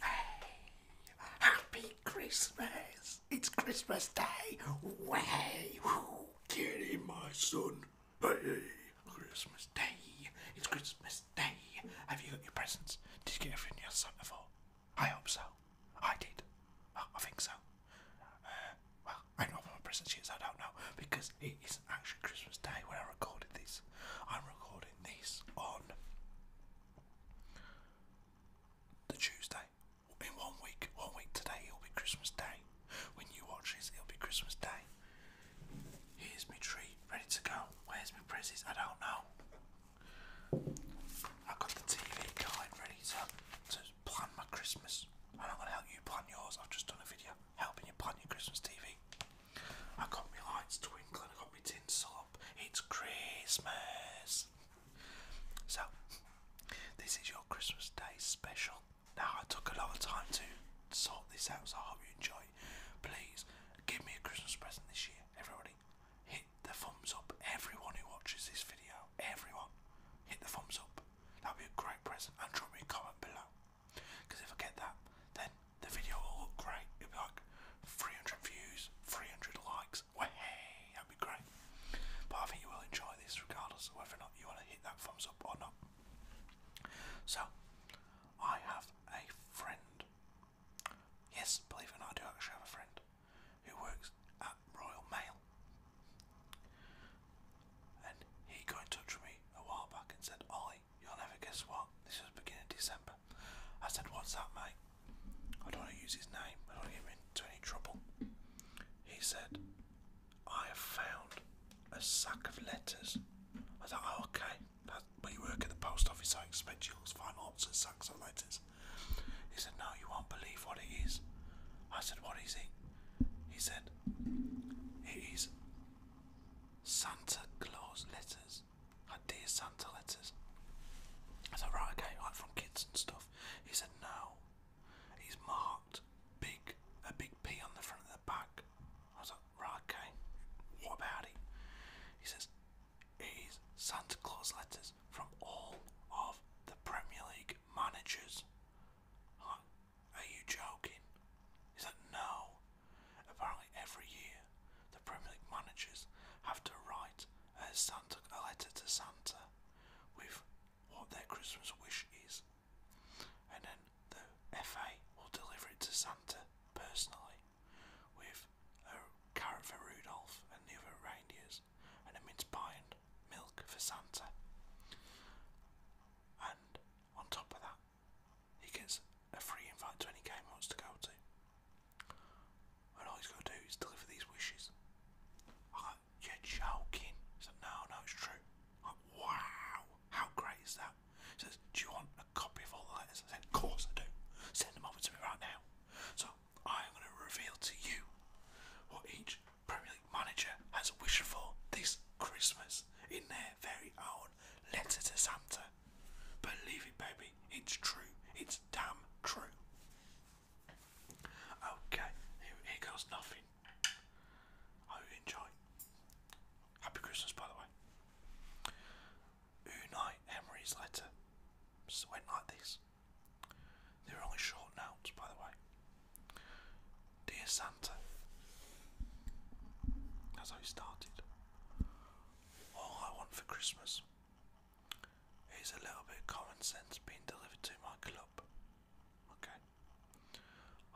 Hey, happy Christmas! It's Christmas Day! Way! Woo, my son! Hey, Christmas Day! It's Christmas Day! Have you got your presents? Did you get everything you asked before? I hope so. I did. I think so. Uh, I don't know what present she I don't know, because it isn't actually Christmas Day when I recorded this. I'm recording this on the Tuesday. In one week, one week today, it'll be Christmas Day. When you watch this, it'll be Christmas Day. Here's my tree, ready to go. Where's my presents? I don't know. I've got the TV guide ready to, to plan my Christmas. I'm not going to help you plan yours, I've just done a video helping you plan your Christmas TV. I got my lights twinkling, I got my tinsel up. It's Christmas. So, this is your Christmas Day special. Now, I took a lot of time to sort this out, so I hope you enjoy Please give me a Christmas present this year, everybody. Hit the thumbs up, everyone who watches this video, everyone. Hit the thumbs up. That'd be a great present. And drop me a comment below. Because if I get that, then the video will look great. It'll be like 300 views, 300 likes. Well, hey, that'd be great. But I think you will enjoy this regardless of whether or not you want to hit that thumbs up or not. So, I have a friend. Yes, believe it or not, I do actually have a friend who works at Royal Mail. And he got in touch with me a while back and said, Ollie, you'll never guess what? This was beginning of December. I said, What's that, mate? I don't want to use his name, I don't want to get him into any trouble. He said, I have found a sack of letters. I thought, oh, okay, that, but you work at the post office, so I expect you'll find lots of sacks of letters. He said, no, you won't believe what it is. I said, what is it? He said, It is Santa Claus letters. Our dear Santa letters. I said, Right, okay, like from kids and stuff. He said, No. He's marked big, a big P on the front of the back. I was like, Right, okay, what about it? He says, It is Santa Claus letters from all of the Premier League managers. Are you joking? He's like, no. Apparently, every year, the Premier League managers have to write a, letter to Santa with what their Christmas wish is, and then the FA will deliver it to Santa personally with a carrot for Rudolph and the other reindeers, and a mince pie milk for Santa. And on top of that, he gets a free invite to any game he wants to go to. And all he's got to do is deliver these wishes. I'm like, you're joking. He's like, no, no, it's true. I'm like, wow, how great is that? He says, do you want a copy of all the letters? I said, of course I do. Send them over to me right now. So, I'm going to reveal to you what each Premier League manager has wished for this Christmas in their very own letter to Santa. Believe it, baby, it's true, it's damn true. Okay, here, here goes nothing. I enjoy. Happy Christmas, by the way. Unai Emery's letter went like this. They were only short notes, by the way. Dear Santa, that's how I started, all I want for Christmas is a little bit of common sense being delivered to my club. Okay?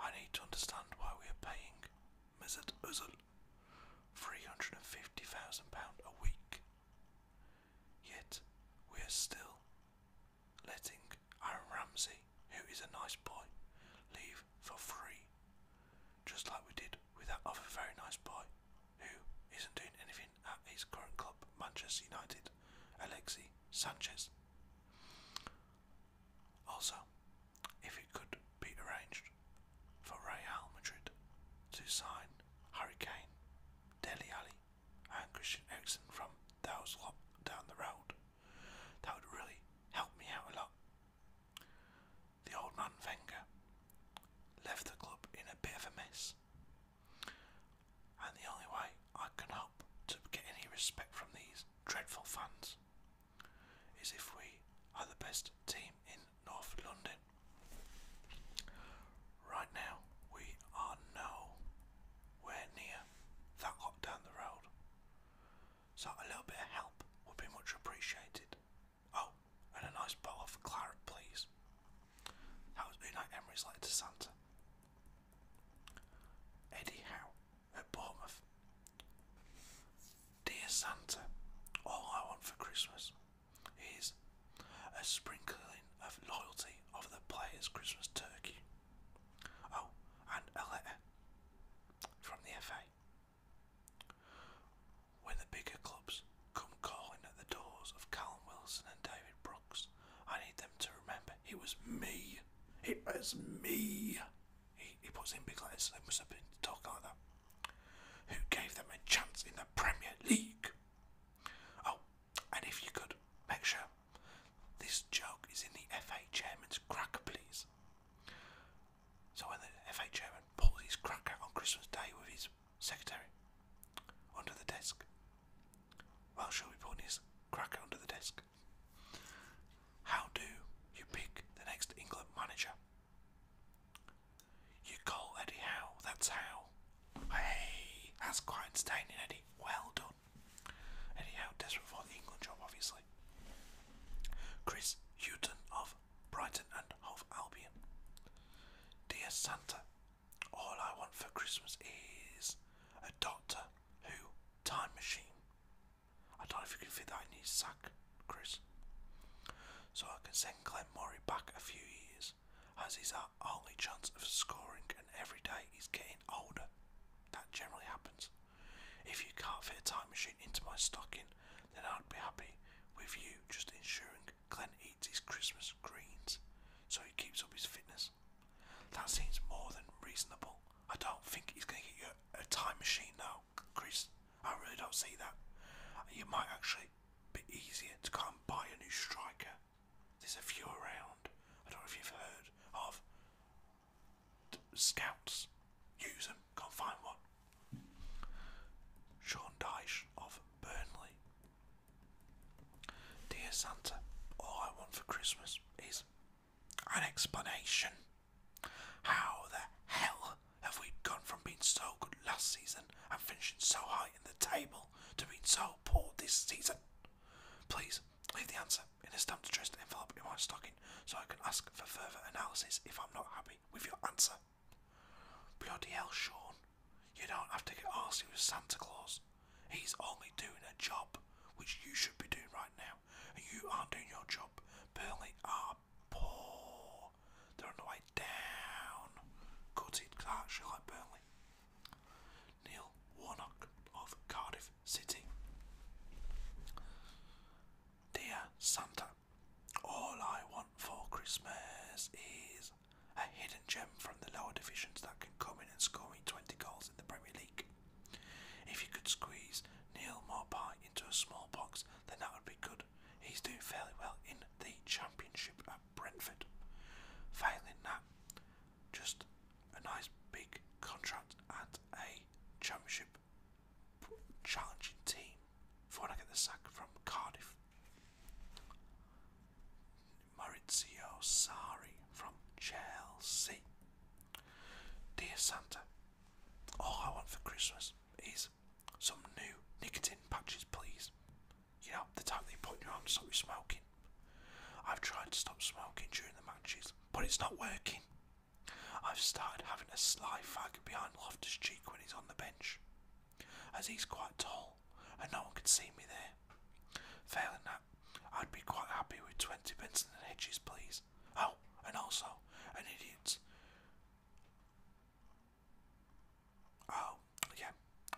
I need to understand why we are paying Mizard Uzzle £350,000 a week. Yet, we are still letting Aaron Ramsey, who is a nice boy, leave for free, just like we did with that other very nice boy who isn't doing anything at his current club, Manchester United, Alexi Sanchez. Also, if it could be arranged for Real Madrid to sign Hurricane, Deli Ali, and Christian Eriksen from those lot down the road, that would really help me out a lot. The old man Wenger left the club in a bit of a mess, and the only way I can hope to get any respect from these dreadful fans is if we are the best team in North London. Right now, we are nowhere near that lot down the road. So a little bit of help would be much appreciated. Oh, and a nice bottle of claret, please. That was Unai Emery's to Santa. Eddie Howe at Bournemouth. Dear Santa, all I want for Christmas is a sprinkling of loyalty over the player's Christmas turkey. Oh, and a letter from the FA. When the bigger clubs come calling at the doors of Callum Wilson and David Brooks, I need them to remember it was me. It was me. He, he puts in big letters, so they must have been talking like that. Who gave them a chance in the Premier League? Oh, and if you could, make sure this joke is in the FA chairman's cracker, please. So when the FA chairman pulls his cracker on Christmas Day with his secretary under the desk, well, shall we put his cracker under the desk? How do you pick the next England manager? You call Eddie Howe, that's how. Hey, that's quite entertaining, Eddie. Well done. Anyhow, desperate for the England job, obviously. Chris Houghton of Brighton and Hove Albion. Dear Santa, all I want for Christmas is a Doctor Who time machine. I don't know if you can fit that in your sack, Chris. So I can send Glenn Murray back a few years, as he's our only chance of scoring, and every day he's getting older. That generally happens. If you can't fit a time machine into my stocking, then I'd be happy with you just ensuring Glenn eats his Christmas greens so he keeps up his fitness. That seems more than reasonable. I don't think he's going to get you a time machine though, Chris. I really don't see that. You might actually be easier to come and buy a new striker. There's a few around. I don't know if you've heard of scouts use them, can't find one. Sean Dyche of Burnley. Dear Santa, all I want for Christmas is an explanation. How the hell have we gone from being so good last season and finishing so high in the table to being so poor this season? Please leave the answer in a stamped addressed envelope in my stocking so I can ask for further analysis if I'm not happy with your answer. Bloody Sean. You don't have to get arsy with Santa Claus. He's only doing a job, which you should be doing right now, and you aren't doing your job. Burnley are poor. They're on the way down. Gutted, because I actually like Burnley. Neil Warnock of Cardiff City. Dear Santa, all I want for Christmas is a hidden gem from the lower divisions that can come in and score me 20 goals in the Premier League. If you could squeeze Neil Morpie into a small box, then that would be good. He's doing fairly well in the Championship at Brentford. Failing that, just a nice big contract at a championship challenging team before I get the sack from Cardiff. Maurizio Sarri from Chelsea. Dear Santa, all I want for Christmas is some new nicotine patches, please. You know, the type they put your arm to stop you smoking. I've tried to stop smoking during the matches, but it's not working. I've started having a sly fag behind Loftus Cheek when he's on the bench, as he's quite tall and no one can see me there. Failing that, I'd be quite happy with 20 in the hitches, please. Oh, and also, an idiot. Oh, yeah,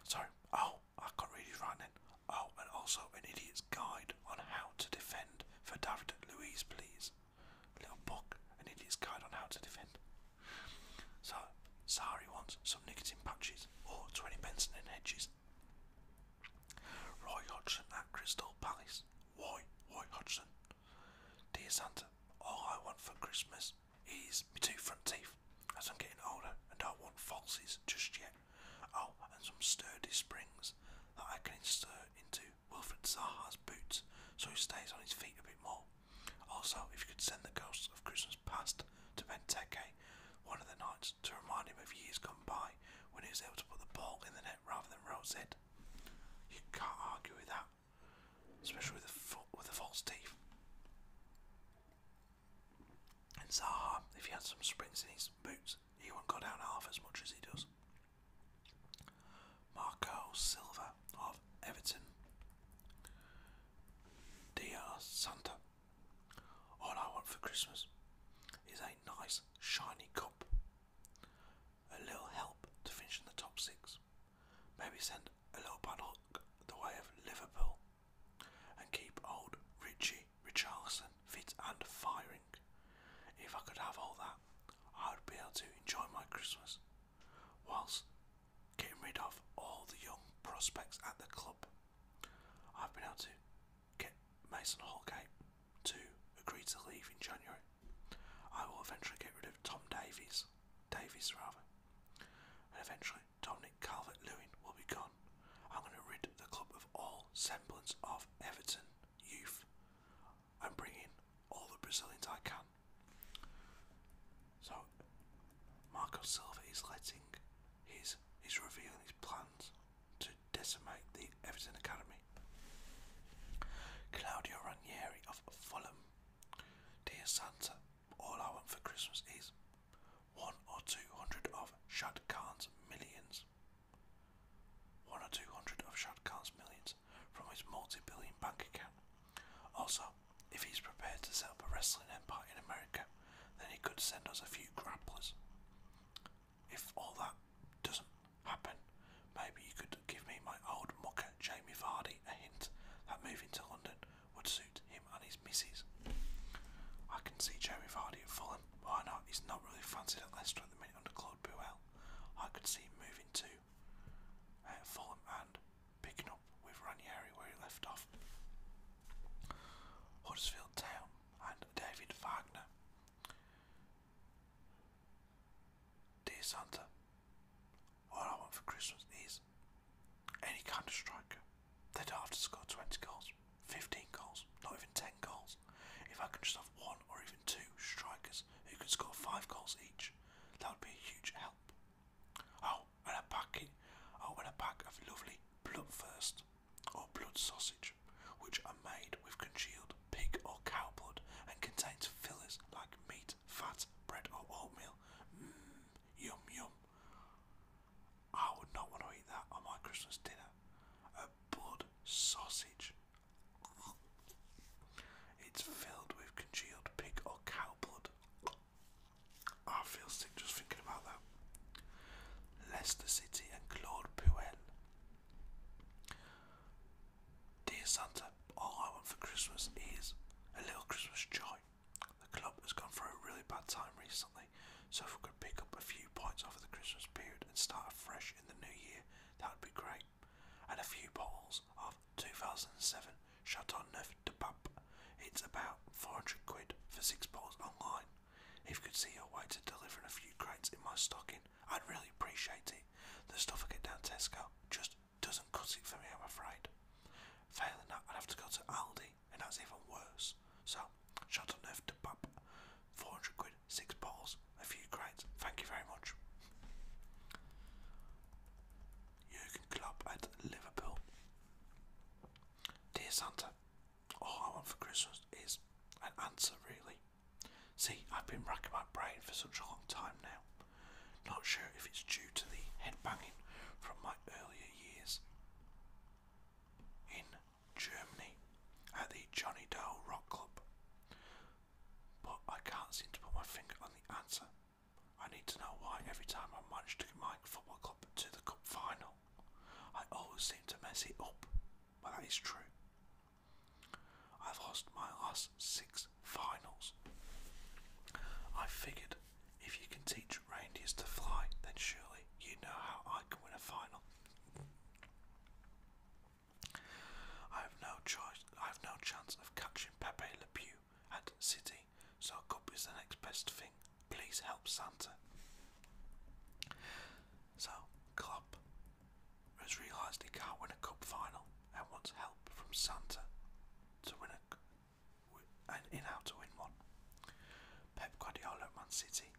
sorry. Oh, I can't read Oh, and also an idiot's guide on how to defend for David Louise, please. A little book, an idiot's guide on how to defend. So, Sari wants some nicotine patches or 20 Benson and Hedges. Roy Hodgson at Crystal Palace. Why, Roy Hodgson? Dear Santa, all I want for Christmas is my two front teeth, as I'm getting older and I want falsies just yet. Oh, and some sturdy springs that I can insert into Wilfred Zaha's boots so he stays on his feet a bit more. Also, if you could send the ghosts of Christmas past to Benteke one of the nights to remind him of years gone by when he was able to put the ball in the net rather than roll it. You can't argue with that, especially with the, with the false teeth. And Zaha, if he had some springs in his boots, he won't go down half as much as he does. Marco Silva of Everton. Dear Santa, all I want for Christmas is a nice shiny cup. A little help to finish in the top six. Maybe send a little paddock the way of Liverpool and keep old Richie Richarlison fit and firing. If I could have all that, I would be able to enjoy my Christmas, whilst getting rid of all the young prospects at the club. I've been able to get Mason Holgate to agree to leave in January. I will eventually get rid of Tom Davies, Davies rather, and eventually Dominic Calvert-Lewin will be gone. I'm going to rid the club of all semblance of Everton youth. I'm bringing all the Brazilians I can. So, Marco Silva is letting his, he's revealing his plans to decimate the Everton Academy. Claudio Ranieri of Fulham. Dear Santa, all I want for Christmas is one or two hundred of Shad Khan's millions. One or two hundred of Shatkar's millions from his multi billion bank account. Also, if he's prepared to set up a wrestling empire in America, then he could send us a few grapplers. If all that doesn't happen, maybe you could give me my old mucker Jamie Vardy a hint that moving to London would suit him and his missus. I can see Jamie Vardy at Fulham. Why not? He's not really fancied at Leicester at the minute under Claude Puel, I could see him moving to uh, Fulham and picking up with Ranieri where he left off. Huddersfield Town and David Wagner. Dear all I want for Christmas is any kind of striker. They don't 20 goals. 15 goals, not even 10 goals. If I can just have one or even two strikers who can score five goals each, that would be a huge help. Oh, and a packing, oh, and a pack of lovely bloodthirst or blood sausage, which are made with congealed pig or cow blood and contains fillers like meat, fat, bread, or oatmeal. Mmm, yum yum. I would not want to eat that on my Christmas dinner. Bud sausage. It's filled with congealed pig or cow blood. I feel sick just thinking about that. Leicester City and Claude Puel. Dear Santa, all I want for Christmas is a little Christmas joy. The club has gone through a really bad time recently, so if we could pick up a few points over the Christmas period and start fresh in the new year, that would be great. And a few bottles of 2007 Chateau Neuf de Pape. It's about 400 quid for six bottles online. If you could see your way to delivering a few crates in my stocking, I'd really appreciate it. The stuff I get down Tesco just doesn't cut it for me, I'm afraid. Failing that, I'd have to go to Aldi, and that's even worse. So, Shot on earth to pop, 400 quid, 6 balls, a few crates. Thank you very much. Jurgen Klopp at Liverpool. Dear Santa, all I want for Christmas is an answer, really. See, I've been racking my brain for such a long time now. Not sure if it's due to the head banging from my earlier years in Germany at the Johnny Doe Rock Club. But I can't seem to put my finger on the answer. I need to know why every time I manage to get my football club to the cup final, I always seem to mess it up. But that is true. I've lost my last six finals. I figured if you can teach reindeers to fly, then surely you know how I can win a final. I have no choice. I have no chance of catching Pepe Le Pew at City, so a cup is the next best thing. Please help Santa. So club has realised he can't win a cup final and wants help from Santa to win a and in how to win one. Pep Guardiola at Man City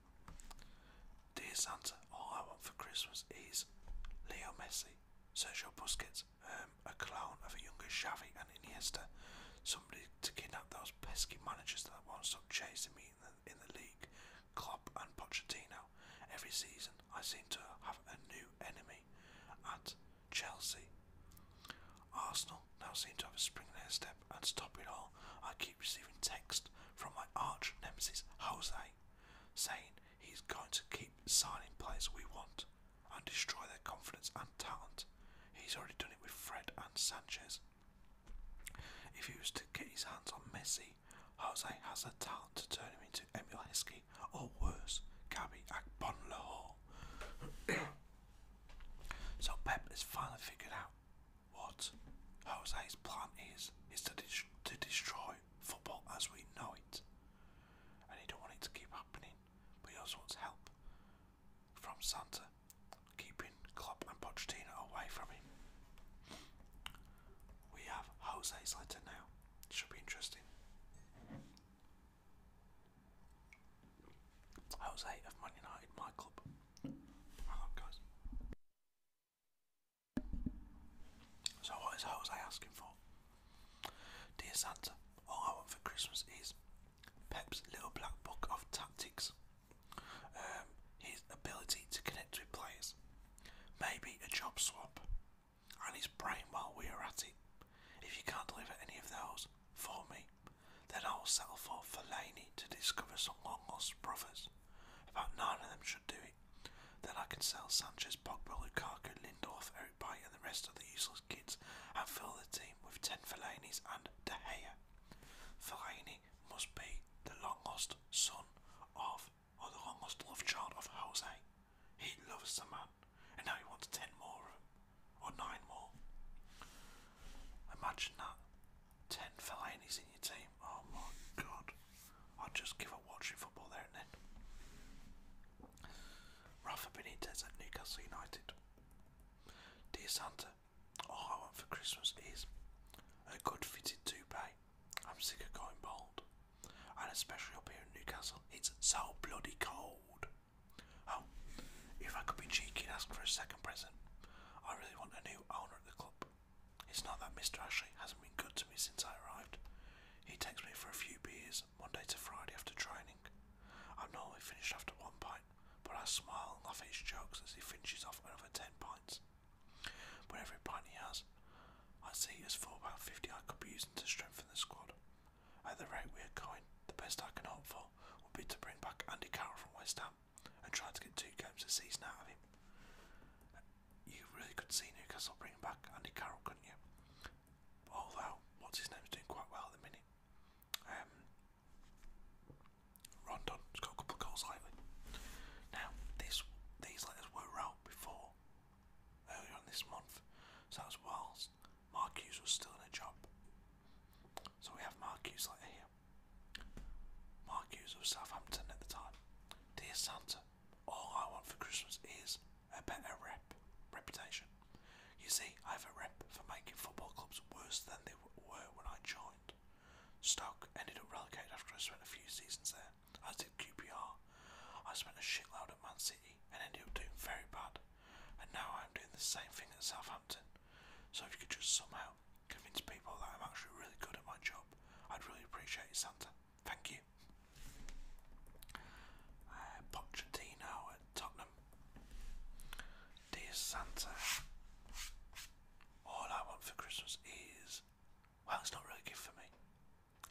Dear Santa, all I want for Christmas is Leo Messi, Sergio Busquets, um, a clone of a younger Xavi and Iniesta, somebody to kidnap those pesky managers that won't stop chasing me in the, league, Klopp and Pochettino. Every season, I seem to have a new enemy at Chelsea. Arsenal now seem to have a spring in their step, and stop it all, I keep receiving texts from my arch nemesis Jose, saying he's going to keep signing players we want and destroy their confidence and talent. He's already done it with Fred and Sanchez. If he was to get his hands on Messi, Jose has the talent to turn him into Emil Heskey or worse, Gabby Agbonlahor. so Pep has finally figured out what Jose's plan is is to, to destroy football as we know it, and he don't want it to keep happening. But he also wants help from Santa, keeping Klopp and Pochettino away from him. We have Jose's letter now. It should be interesting. Jose of Man United, my club. I love guys. So what is I was asking for? Dear Santa, all I want for Christmas is Pep's little black book of tactics. Um, his ability to connect with players. Maybe a job swap. And his brain while we are at it. If you can't deliver any of those for me, then I'll settle for Fellaini to discover some long lost brothers. About nine of them should do it. Then I can sell Sanchez, Pogba, Lukaku, Lindorf, Eric Bay, and the rest of the useless kids and fill the team with 10 Fellaini's and De Gea. Fellaini must be the long lost son of, or the long lost love child of Jose. He loves the man, and now he wants 10 more of them, or 9 more. Imagine that. Ten Fellaini's in your team. Oh my god. i would just give up watching football there and then. Rafa Benitez at Newcastle United. Dear Santa, all I want for Christmas is a good fitted toupee. I'm sick of going bald. And especially up here in Newcastle, it's so bloody cold. Oh, if I could be cheeky and ask for a second present, I really want a new owner at the club. It's not that Mr. Ashley hasn't been good to me since I arrived. He takes me for a few beers Monday to Friday after training. I'm normally finished after one pint, but I smile and laugh his jokes as he finishes off another ten pints. But every pint he has, I see as for about fifty I could be using to strengthen the squad. At the rate we are going, the best I can hope for would be to bring back Andy Carroll from West Ham and trying to get two games a season out of him. You really could see Newcastle bringing back Andy Carroll, couldn't you? Although, what's his name's doing quite well at the minute. Um, Rondon's got a couple of goals lately. Now, this, these letters were out before, earlier on this month, so that was whilst was still in a job. So we have Mark letter here. Mark Hughes of Southampton at the time. Dear Santa, all I want for Christmas is a better rep, reputation. You see, I have a rep for making football clubs worse than they were when I joined. Stoke ended up relegated after I spent a few seasons there, I did QPR. I spent a shitload at Man City and ended up doing very bad, and now I'm doing the same thing at Southampton. So if you could just somehow convince people that I'm actually really good at my job. I'd really appreciate it, Santa. Thank you. Uh, Pochettino at Tottenham. Dear Santa, all I want for Christmas is. Well, it's not really a gift for me.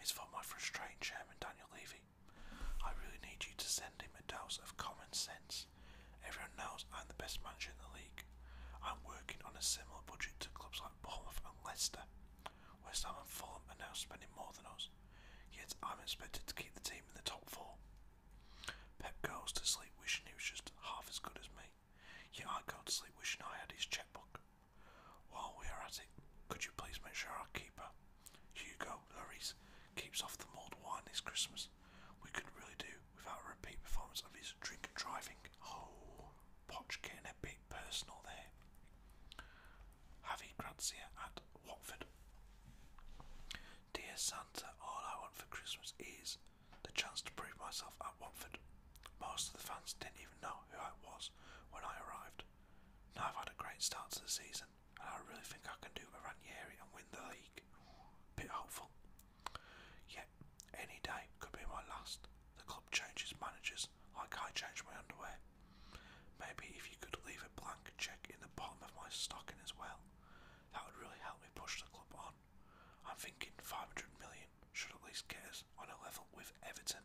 It's for my frustrating chairman, Daniel Levy. I really need you to send him a of common sense. Everyone knows I'm the best manager in the league, I'm working on a similar budget to clubs like Bournemouth and Leicester. West Ham and Fulham are now spending more than us, yet I'm expected to keep the team in the top four. Pep goes to sleep wishing he was just half as good as me, yet I go to sleep wishing I had his checkbook. While we are at it, could you please make sure our keeper, Hugo Lloris, keeps off the mulled wine this Christmas? We could really do without a repeat performance of his drink driving. Oh. Poch getting a bit personal there. Javi Grazia at Watford. Dear Santa, all I want for Christmas is the chance to prove myself at Watford. Most of the fans didn't even know who I was when I arrived. Now I've had a great start to the season, and I really think I can do a Ranieri and win the league. Bit hopeful. Yet, any day could be my last. The club changes managers I can't change my underwear. Maybe if you could leave a blank check in the bottom of my stocking as well, that would really help me push the club on. I'm thinking 500 million should at least get us on a level with Everton.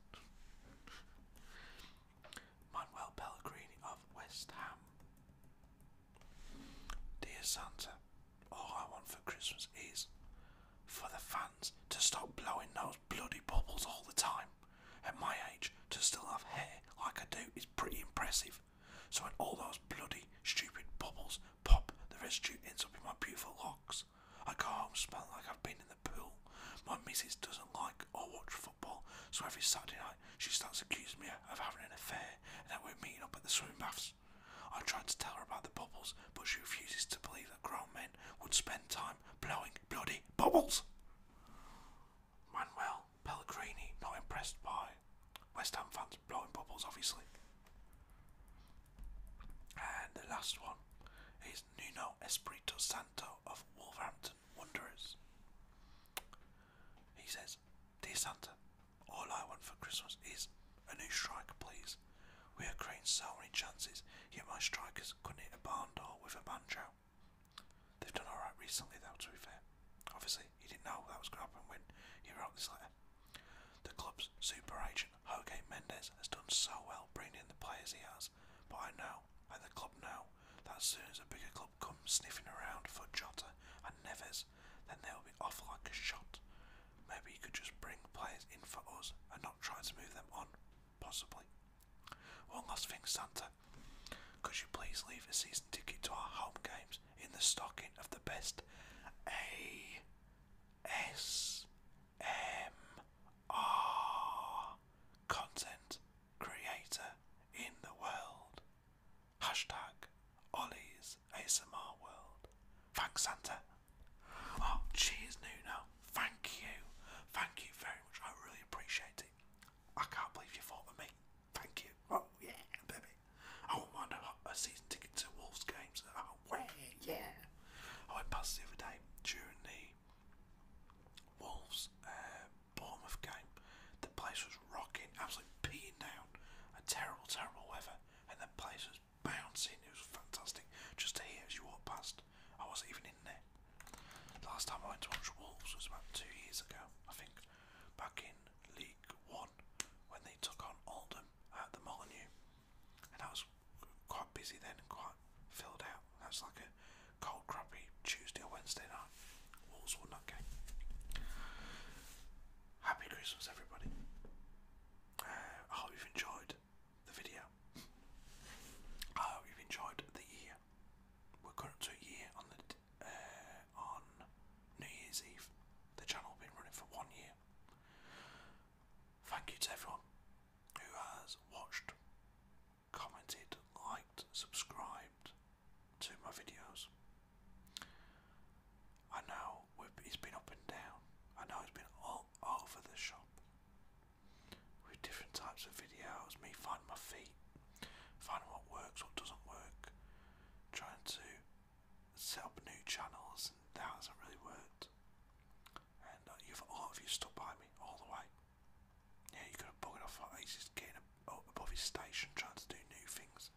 Manuel Pellegrini of West Ham. Dear Santa, all I want for Christmas is for the fans to stop blowing those bloody bubbles all the time. At my age, to still have hair like I do is pretty impressive. So when all those bloody stupid bubbles pop, the residue ends up in my beautiful locks. I go home smelling like I've been in the pool. My missus doesn't like or watch football, so every Saturday night she starts accusing me of having an affair and then we're meeting up at the swimming baths I tried to tell her about the bubbles, but she refuses to believe that grown men would spend time blowing bloody bubbles. Manuel Pellegrini, not impressed by West Ham fans blowing bubbles, obviously. And the last one is Nuno Espirito Santo of Wolverhampton Wanderers. He says, Dear Santa, all I want for Christmas is a new striker, please. We are creating so many chances, yet my strikers couldn't hit a barn door with a banjo. They've done alright recently, though, to be fair. Obviously, he didn't know that was going to happen when he wrote this letter. The club's super agent, Jorge Mendes, has done so well bringing in the players he has, but I know, and the club know, that as soon as a bigger club comes sniffing around for Jota and Neves, then they'll be off like a shot. Maybe you could just bring players in for us and not try to move them on, possibly. One last thing, Santa. Could you please leave a season ticket to our home games in the stocking of the best A S M R content creator in the world? Hashtag Ollie's ASMR world. Thanks, Santa. Oh, cheers, Nuno. Thank you. Thank you very much. I really appreciate it. I can't believe you thought of me. Thank you. Oh, yeah, baby. Oh, I won't mind a, season ticket to Wolves games. Oh, yeah. I went past the other day during the Wolves uh, Bournemouth game. The place was rocking, absolutely peeing down. A terrible, terrible weather, and the place was was bouncing. It was fantastic just to hear as you walked past. I wasn't even in there. Last time I went to watch Wolves was about two years ago, I think, back in League One when they took on Oldham at the Molyneux, and I was quite busy then and quite filled out. That's like a cold, crappy Tuesday or Wednesday night. Wolves won that game. Happy Christmas, everybody. I hope you've enjoyed the video. I hope you've enjoyed the year. We're coming year on the uh, on New Year's Eve. The channel been running for one year. Thank you to everyone who has watched, commented, liked, subscribed to my videos. I know know has been up and down. I know he has been all over the shop with different types of videos. Me finding my feet, finding what works, what doesn't work, trying to set up new channels, and that hasn't really worked. And uh, you've all of you stuck by me all the way. Yeah, you got a bugger off. He's just getting above his station, trying to do new things.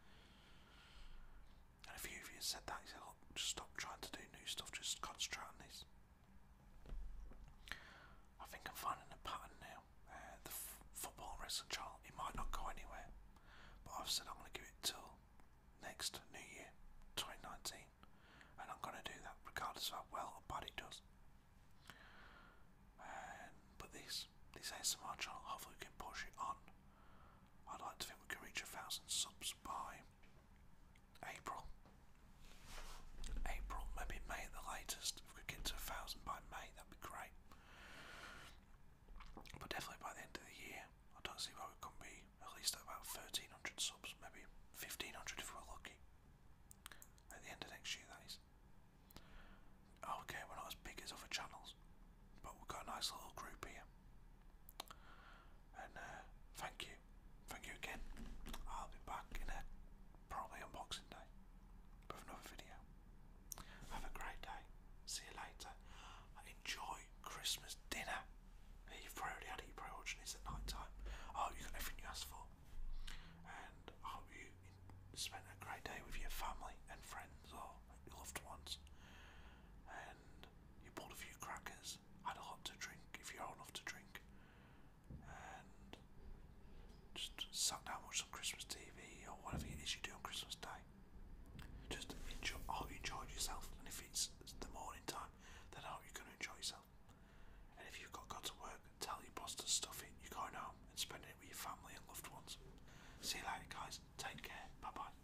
And a few of you said that. He said, oh, just stop trying to do new stuff, just concentrate on this. I think I'm finding a pattern now. Uh, the football and wrestling channel, it might not go anywhere. But I've said I'm going to give it till next New Year 2019. And I'm going to do that regardless of how well or body does. Um, but this, this ASMR channel, hopefully we can push it on I'd like to think we can reach a thousand subs by April. April, maybe May at the latest. If we could get to a thousand by May, that'd be great. But definitely by the end of the year, I don't see why we couldn't be at least about 1300 subs, maybe 1500 if we're lucky. At the end of next year, that is. Okay, we're not as big as other channels, but we've got a nice little group here and uh, thank you, thank you again. I'll be back in a probably unboxing day with another video. Have a great day. See you later. Enjoy Christmas dinner. you probably had it, you're at night time. I you got everything you asked for. And I hope you spent a great day with your family and friends or loved ones. And you bought a few crackers drinks a lot to drink if you're old enough to drink. And just sat down and watched some Christmas TV or whatever it is you do on Christmas Day. Just enjoy, I hope you enjoyed yourself. And if it's the morning time, then I hope you're going to enjoy yourself. And if you've got, got to work, tell your boss to stuff it. You're going home and spending it with your family and loved ones. See you later, guys. Take care. Bye bye.